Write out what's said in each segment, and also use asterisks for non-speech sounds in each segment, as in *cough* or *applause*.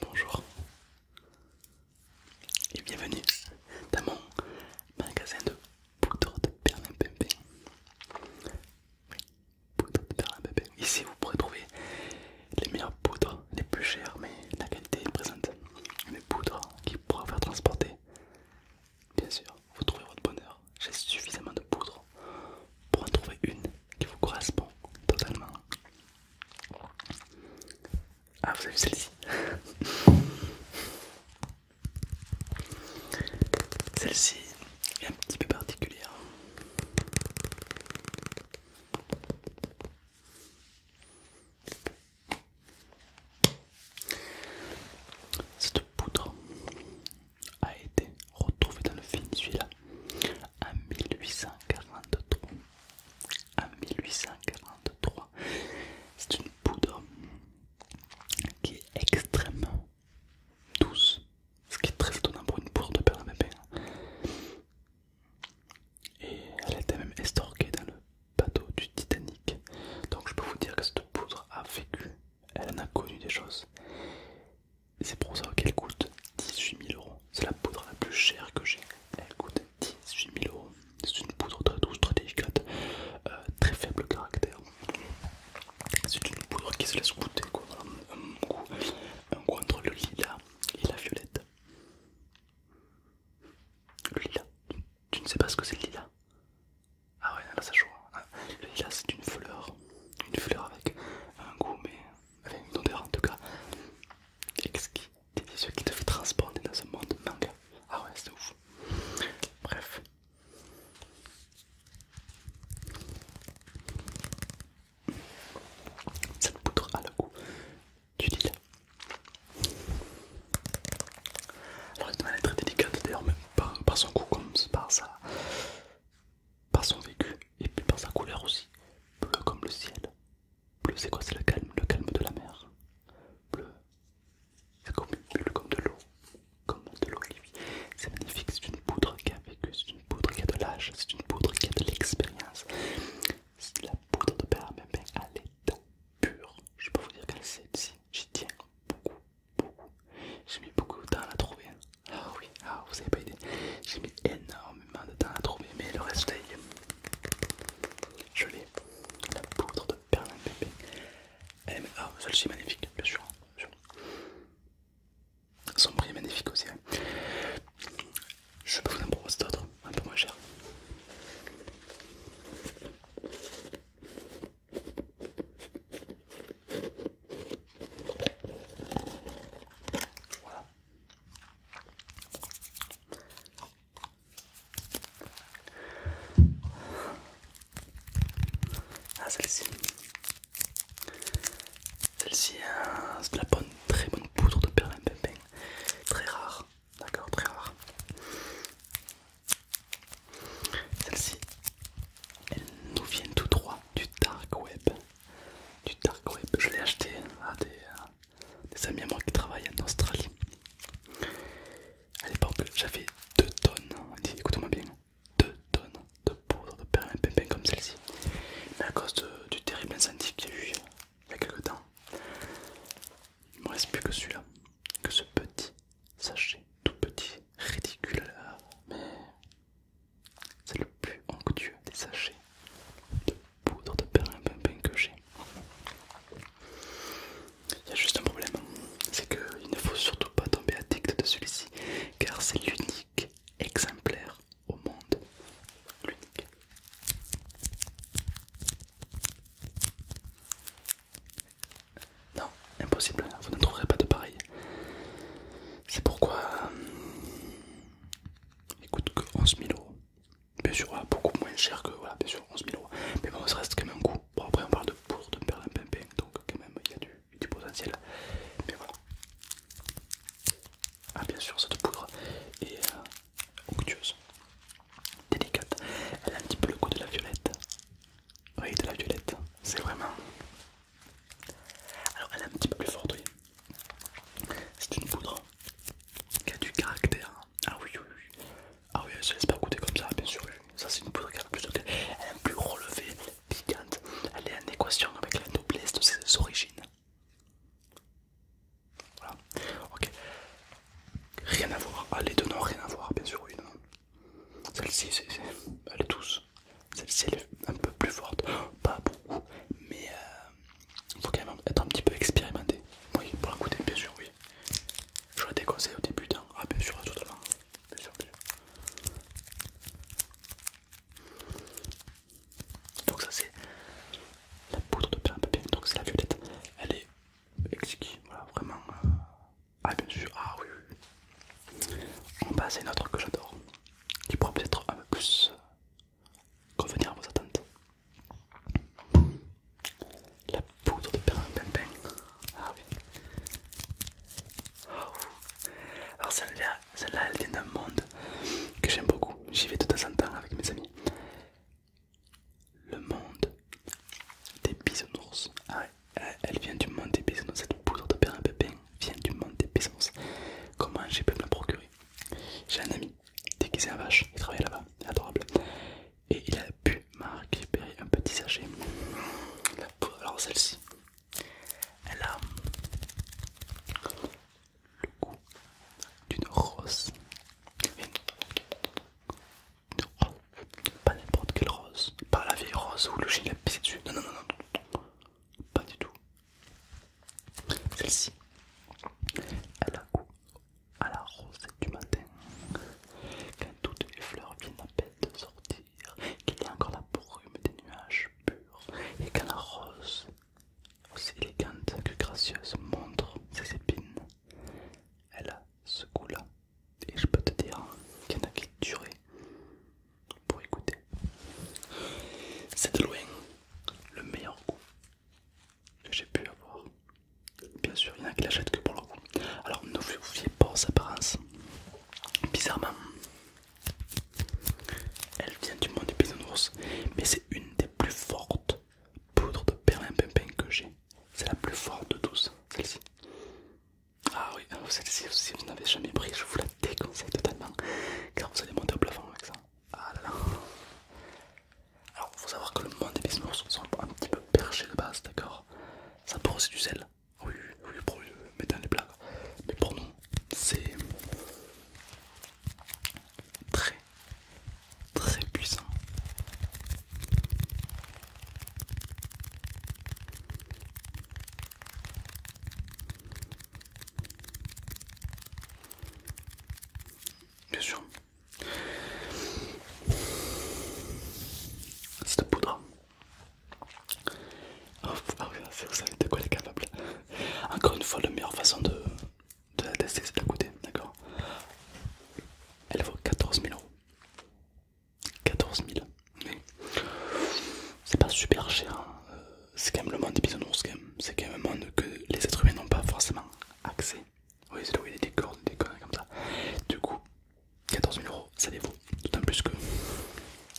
Bonjour et bienvenue dans mon magasin de poudre de perlimpinpin. de Ici vous pourrez trouver les meilleures poudres les plus chères, mais la qualité est présente. Une poudres qui pourra faire transporter. Bien sûr, vous trouvez votre bonheur. J'ai suffisamment de poudre pour en trouver une qui vous correspond totalement. Ah, vous avez celle-ci *laughs* Celle-ci est un petit peu particulière. Cette poudre a été retrouvée dans le film celui-là en 1843. c'est une poudre qui est extrêmement douce, ce qui est très étonnant pour une poudre de père hein. à et elle était même estorquée dans le bateau du Titanic. Donc je peux vous dire que cette poudre a vécu, elle en a connu des choses. C'est pour ça qu'elle coûte 18 000 euros. C'est la poudre la plus chère que j'ai. Elle coûte 18 000 euros. C'est une poudre très douce, très délicate, euh, très faible caractère. C'est une poudre qui se laisse goûter, quoi. un, un goût entre le lilas et la violette. Le Tu, ne sais pas ce que c'est le lilas Ah ouais, là ça joue. Hein. Le lilas c'est une fleur. Une fleur avec un goût, mais avec une odeur en tout cas. Exquis. Délicieux qui te fait transporter dans ce monde manga. Ah ouais, c'est ouf. Bref. Cette poudre a le goût du dis. Alors elle est très délicate d'ailleurs, même par, son goût comme par par son vécu et puis par sa couleur aussi. Bleu comme le ciel. Bleu c'est quoi C'est le calme, le calme de la mer. Bleu, c'est de l'eau, comme de l'eau C'est magnifique, c'est une poudre qui a vécu, c'est une poudre qui a de l'âge, c'est une poudre qui a de l'expérience la poudre de perle à l'état pur. Je peux vous dire que celle-ci, j'y tiens beaucoup, beaucoup. J'ai mis beaucoup de temps à la trouver. Ah oui, ah, vous n'avez pas idée. J'ai mis énormément de temps à la trouver, mais le reste est... Je l'ai, la poudre de perlimpinpin. Ah, celle-ci est magnifique, Bien sûr. Son prix est magnifique aussi. Hein. Je peux vous en proposer d'autres, un peu moins cher. Voilà. Ah, celle-ci c'est de la bonne, très bonne poudre de perlimpinpin, très rare, d'accord, très rare. Celle-ci, elle nous vient tout droit du dark web, du dark web. Je l'ai acheté à des, euh, amis à moi qui travaillent en Australie. À l'époque, j'avais 2 tonnes, écoutez-moi bien, 2 tonnes de poudre de perlimpinpin comme celle-ci. Mais à cause du terrible incendie qu'il y a eu il y a quelques temps, il ne me reste plus que celui-là, que ce petit sachet, tout petit, ridicule mais c'est le plus onctueux des sachets de poudre de perlimpinpin que j'ai. Il y a juste un problème, c'est qu'il ne faut surtout pas tomber addict de celui-ci, car c'est l'unique exemplaire au monde l'unique. Non, impossible, vous ne trouverez pas de pareil. C'est pourquoi il euh, coûte que 11 000 euros. Bien sûr, beaucoup moins cher que voilà, bien sûr 11 000 euros. Mais bon, ça reste quand même un coût. Bon, après, on parle de pour de perlimpinpin, donc quand même il y a du potentiel. Mais voilà. Ah bien sûr, cette poudre est euh, onctueuse, délicate. Elle a un petit peu le goût de la violette. Oui, de la violette. C'est vraiment... Alors elle est un petit peu plus forte, oui. C'est une poudre qui a du caractère. Ah oui, oui, oui. Ah oui, elle se laisse pas goûter comme ça, bien sûr. Ça c'est une poudre qui a plus de... Elle est plus relevée, piquante. Elle est en équation avec la noblesse de ses origines. Voilà. Ok. Rien à voir. Ah, les deux n'ont rien à voir, bien sûr. Oui, Celle-ci, c'est... Elle est douce. Celle-ci, elle est un peu plus forte. *gasps* Pas beaucoup, mais... Euh, il faut quand même être un petit peu expérimenté. Oui, pour la bien sûr, oui. Je des conseils au début, hein. ah, bien sûr, totalement. Bien sûr, bien sûr. Donc ça c'est la poudre de perles à donc c'est la violette. Elle est exquise, voilà vraiment. Euh, ah bien sûr, ah oui. oui. On passe à une autre que j'adore, qui pourra peut-être un peu plus convenir euh, à vos attentes. La poudre de perles à pimpin. Ah oui. Oh. Alors celle-là, celle-là, elle vient d'un monde que j'aime beaucoup. J'y vais de temps en temps avec mes amis. Le monde des bisounours. Ah ouais, euh, elle vient du monde des bisounours. Cette poudre de père pépin vient du monde des bisounours. Comment j'ai pu me la procurer J'ai un ami déguisé en vache, il travaille là-bas, adorable. Et il a pu m'a un petit sachet. Alors celle-ci, elle a le goût d'une rose. Pas n'importe quelle rose. Pas la vieille rose ou le gilet pissé dessus. Non, non, non, Pas du tout. Celle-ci. Elle a goût à la rosette du matin. Quand toutes les fleurs viennent à peine de sortir, qu'il y a encore la brume des nuages purs, et quand la rose aussi élégante que gracieuse, montre ses épines. Elle a ce goût-là, et je peux te dire qu'il y en a qui durer pour écouter. C'est de loin le meilleur goût que j'ai pu avoir. Bien sûr, il y en a qui l'achètent que pour le goût. Alors ne vous fiez pas aux apparences. Bizarrement, elle vient du monde des ours, mais c'est une des plus fortes poudres de perlimpinpin que j'ai. C'est la plus forte de tous, celle-ci. Ah oui, celle-ci, si vous n'avez jamais pris, je vous la déconseille totalement, car vous allez monter au plafond avec ça. Ah Alors, faut savoir que le monde des bisounours sont un petit peu perché de base, d'accord Ça pour aussi du sel. Oui, oui, pour euh, mettre dans les plats. Mais pour nous, c'est très très puissant. Bien sûr, c'est de poudre. Oh, vous savez de quoi elle est capable. Encore une fois, la meilleure façon de, la tester, c'est de la d'accord Elle vaut 14 000 euros. 14 000, C'est pas super cher, hein. euh, c'est quand même le monde des bisounours, c'est quand, même un monde que les êtres humains n'ont pas forcément accès. Oui, c'est là où il y a des décornes, des conneries comme ça. Du coup, 14 000 euros, ça les vaut. D'autant plus que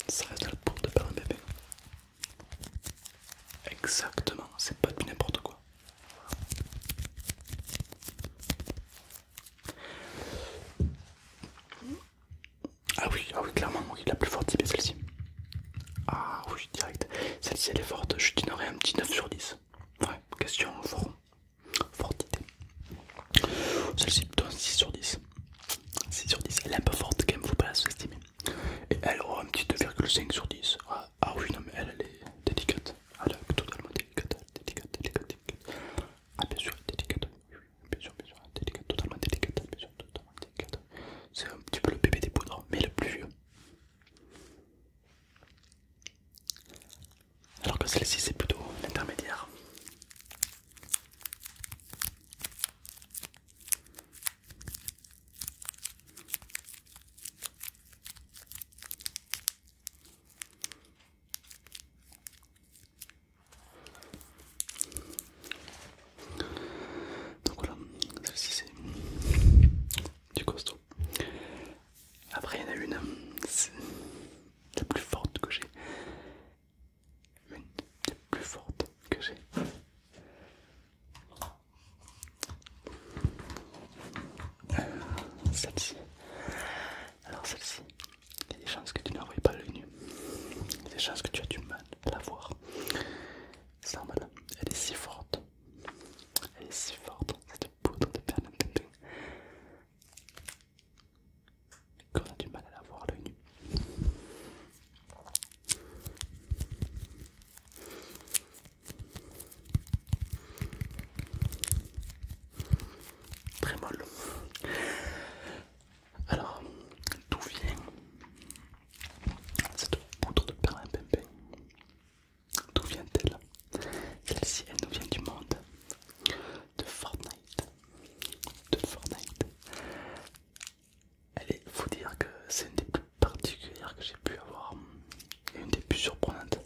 ça reste à la porte de faire un bébé. Exactement, c'est pas du n'importe quoi. Ah oui, ah oui, clairement, oui, la plus forte type celle-ci. Ah oui, direct. Celle-ci elle est forte, je donnerai un petit 9 sur 10. Ouais, question fort. Fortité. Celle-ci plutôt un 6 sur 10. 6 sur 10. Elle est un peu forte quand même, faut pas la sous-estimer. Et elle aura un petit 2,5 sur 10. Ah, ah, oui, non, mais elle, elle est délicate. Elle est totalement délicate, délicate, délicate, Ah, bien sûr, délicate. Bien sûr, bien sûr, délicate, totalement délicate. Bien sûr, totalement délicate. C'est un petit peu le bébé des poudres, mais le plus vieux. Alors que celle-ci, c'est plutôt l'intermédiaire. Donc voilà, celle-ci c'est du costaud. Après il y en a une, la plus forte que j'ai, une des plus fortes que j'ai. Euh, celle-ci. Alors celle-ci, il y a des chances que tu ne voyais pas le nu. Il y a des chances que tu aies du mal à la voir. C'est normal, elle est si forte. Elle est si forte, cette poudre de perles qu'on a du mal à la voir nu. Très molle. Alors, d'où vient cette poudre de perlimpinpin D'où vient-elle Celle-ci, elle nous vient du monde de Fortnite. De Fortnite. Allez, faut dire que c'est une des plus particulières que j'ai pu avoir et une des plus surprenantes.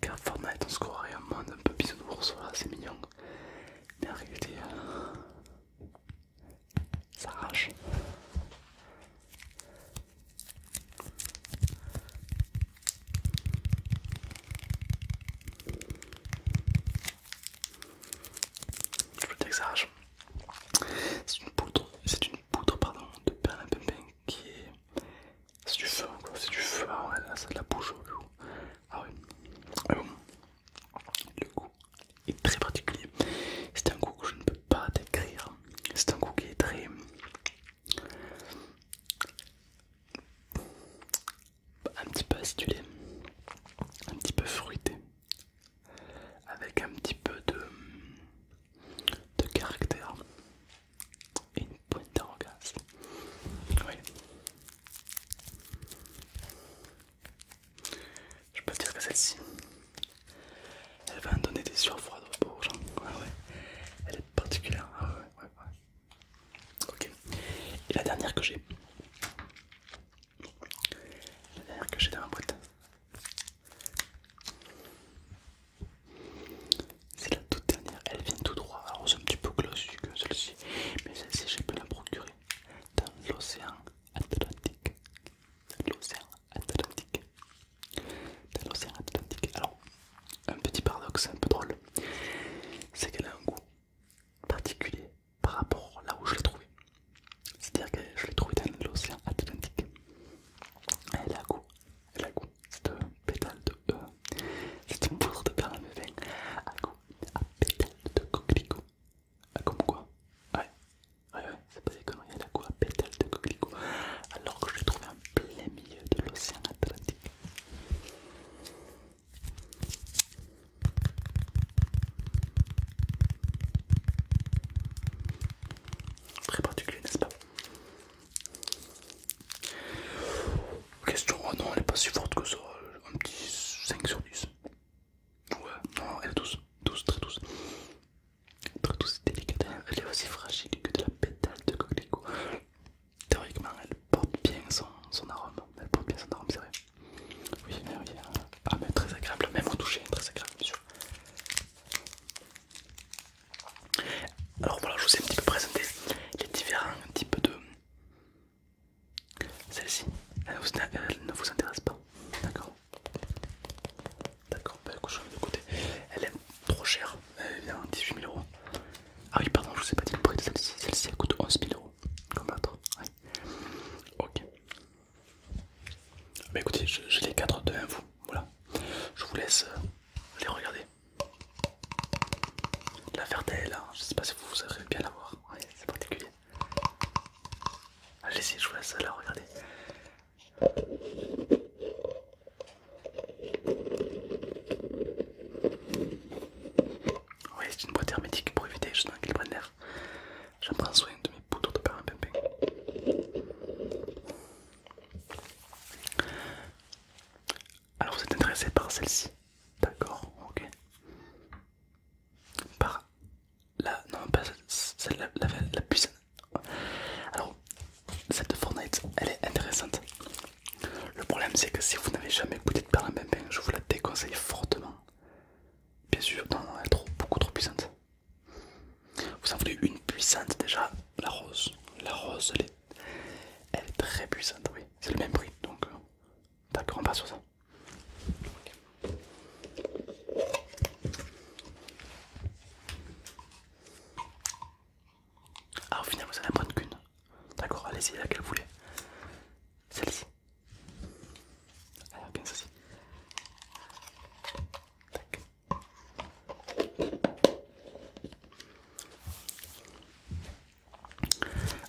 Car Fortnite, on score et un monde un peu bisounours, c'est mignon. Mais en réalité, euh, ça arrache. Je texage. C'est une poudre, c'est une poudre pardon, de perlimpinpin qui est. C'est du feu, quoi, c'est du feu, ah ouais, ça la bouge au loup. Ah oui. Le goût est très particulier. C'est un goût que je ne peux pas décrire. C'est un goût qui est très un petit peu acidulé, un petit peu fruité, avec un petit peu de, de caractère et une pointe d'arrogance. Je peux dire que celle-ci, elle va donner des sueurs froides aux gens. Ah elle est particulière. Ah ok. Et la dernière que j'ai, la dernière que j'ai dans ma boîte. C'est la toute dernière, elle vient tout droit. Alors c'est un petit peu glossu que celle-ci, mais celle-ci je peux la procurer dans l'océan Atlantique. Dans l'océan Atlantique. Dans l'océan Atlantique. Alors, un petit paradoxe un peu drôle, c'est qu'elle a un goût particulier par rapport là où je l'ai trouvé. C'est-à-dire que je l'ai trouvé dans l'océan Atlantique. Elle a goût, elle a goût, c'est un pétale de... Euh, c'est une poudre de perles à à goût, à pétale de coquelicot. Ah, comme quoi Ouais, ouais, ouais, c'est pas des conneries, elle a goût à pétale de coquelicot. Alors que je l'ai trouvé en plein milieu de l'océan Atlantique. Très particulier, n'est-ce pas Question, oh non, elle est pas si forte que ça, un petit 5 sur 10. Ouais, non, elle est douce, douce, très douce. Très douce et délicate, elle est aussi fragile que de la pétale de coquelicot. Théoriquement, elle porte bien son, son arôme, elle porte bien son arôme, c'est vrai. Oui, mais oui, très agréable, même au toucher, très agréable, bien sûr. Alors voilà, je vous ai un petit peu présenté les différents types de. Celle-ci, elle, ne vous intéresse pas, d'accord D'accord, bah écoute, je vais de côté. Elle est trop chère, elle vient 18 000 euros. Ah oui, pardon, je vous ai pas dit le prix de celle-ci. Celle-ci elle coûte 11 000 euros, comme l'autre. Ok. Bah écoutez, j'ai les 4 devant vous. Voilà. Je vous laisse euh, les regarder. La verte là. Hein. Je sais pas si vous savez bien la voir. c'est particulier. Allez-y, je vous laisse la regarder. Oui, c'est une boîte hermétique pour éviter justement qu'elle prenne l'air. J'en prends soin de mes poudres de pain Alors vous êtes intéressé par celle-ci D'accord, ok. Par la... Non, pas celle là la, la alors Alors, cette Fortnite, elle est intéressante. Le problème c'est que si vous n'avez jamais goûté de perle en pimpin, je vous la déconseille fortement. Bien sûr, non, elle est trop, beaucoup trop puissante. Vous en voulez une puissante déjà, la rose. La rose, elle est, très puissante, oui. C'est le même prix, donc euh, d'accord, on passe sur ça. Ah, au final, vous n'en qu'une. D'accord, allez-y, laquelle vous voulez. Celle-ci. Elle ah, a bien ceci. Tac.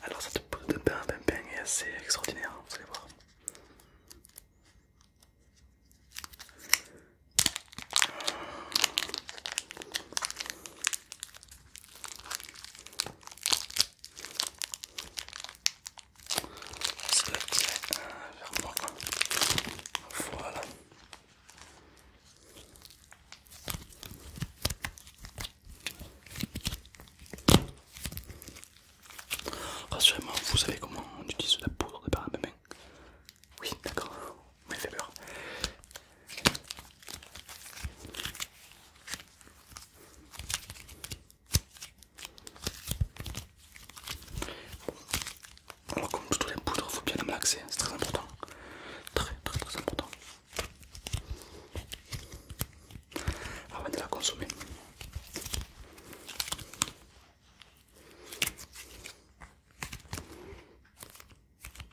Alors cette peau de pain, est assez extraordinaire, vous allez voir. C'est le tirer vers moi. Voilà. Rassurez-moi, vous savez comment on utilise la poudre de main Oui, d'accord, mais fait peur. Alors comme tous les poudres, il faut bien avoir malaxer, c'est très important. Très très très important. Avant de la consommer.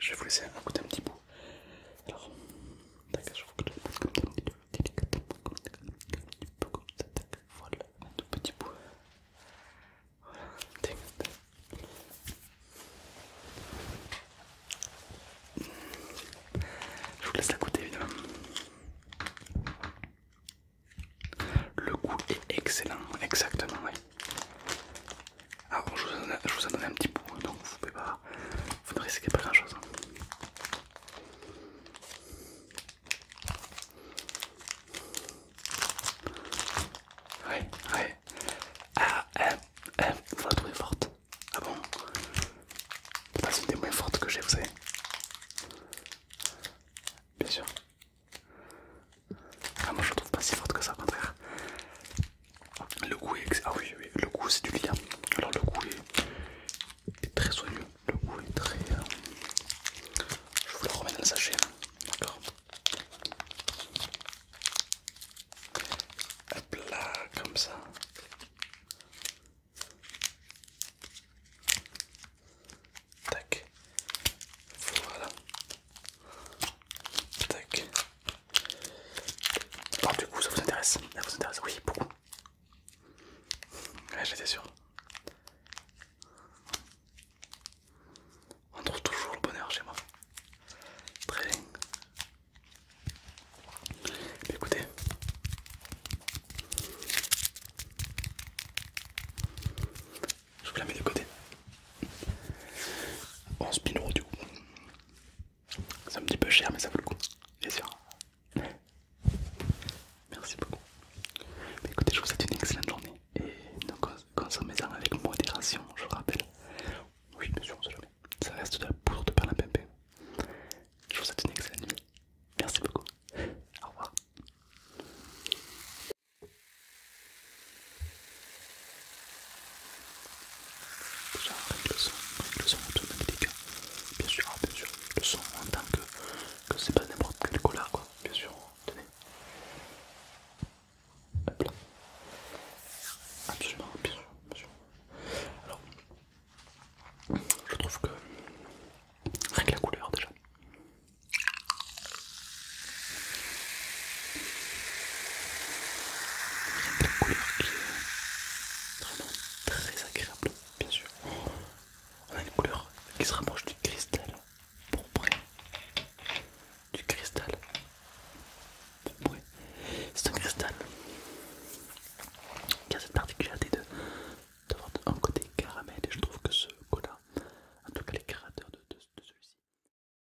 je vais vous laisser côté un petit bout. Alors, d'accord, je vous le passe comme ça, un petit peu, comme ça, comme ça, voilà, un tout petit bout. Voilà, tac, Je vous laisse la goûter évidemment. Le goût est excellent, exactement, oui. Alors ah je vous, en, je vous en donne un petit bout, hein, donc vous, ne risquez pas grand chose. Oui, hein. oui. Ah, vous euh, euh, la trouvez forte. Ah bon C'est une des moins fortes que j'ai, vous savez. Bien sûr. Ah, moi je la trouve pas si forte que ça, au contraire. Le goût est... Ah oui, oui le goût c'est du lien. Alors le goût est, est très soigneux. Le goût est très... Euh, je vous le remets dans le sachet. D'accord. Hop là, comme ça. Tac. Voilà. Tac. Alors du coup ça vous intéresse Ça vous intéresse Oui, beaucoup. Ouais, j'étais sûr. On trouve toujours le bonheur chez moi. Très bien. écoutez. Je vous la mets de côté. On spin du coup. C'est un petit peu cher, mais ça vaut le coup, bien sûr. Merci beaucoup. écoutez, je vous souhaite une excellente journée et consommez-en avec modération, je vous rappelle. Oui, bien sûr, on sait jamais. Ça reste de la poudre de pimpé. Je vous souhaite une excellente nuit. Merci beaucoup. Au revoir le son, le son Bien sûr, bien sûr, le son en tant que, que c'est pas n'importe quelle couleur quoi. Bien sûr, tenez. Hop là. Absolument, bien sûr, bien sûr. Alors, je trouve que rien que la couleur déjà a couleur qui est vraiment très agréable, bien sûr. On a une couleur qui se rapproche du cristal pourpré. Du cristal pourpré. C'est un cristal qui a cette particularité de d'avoir un côté caramel et je trouve que ce cola, en tout cas les caractères de, de celui-ci.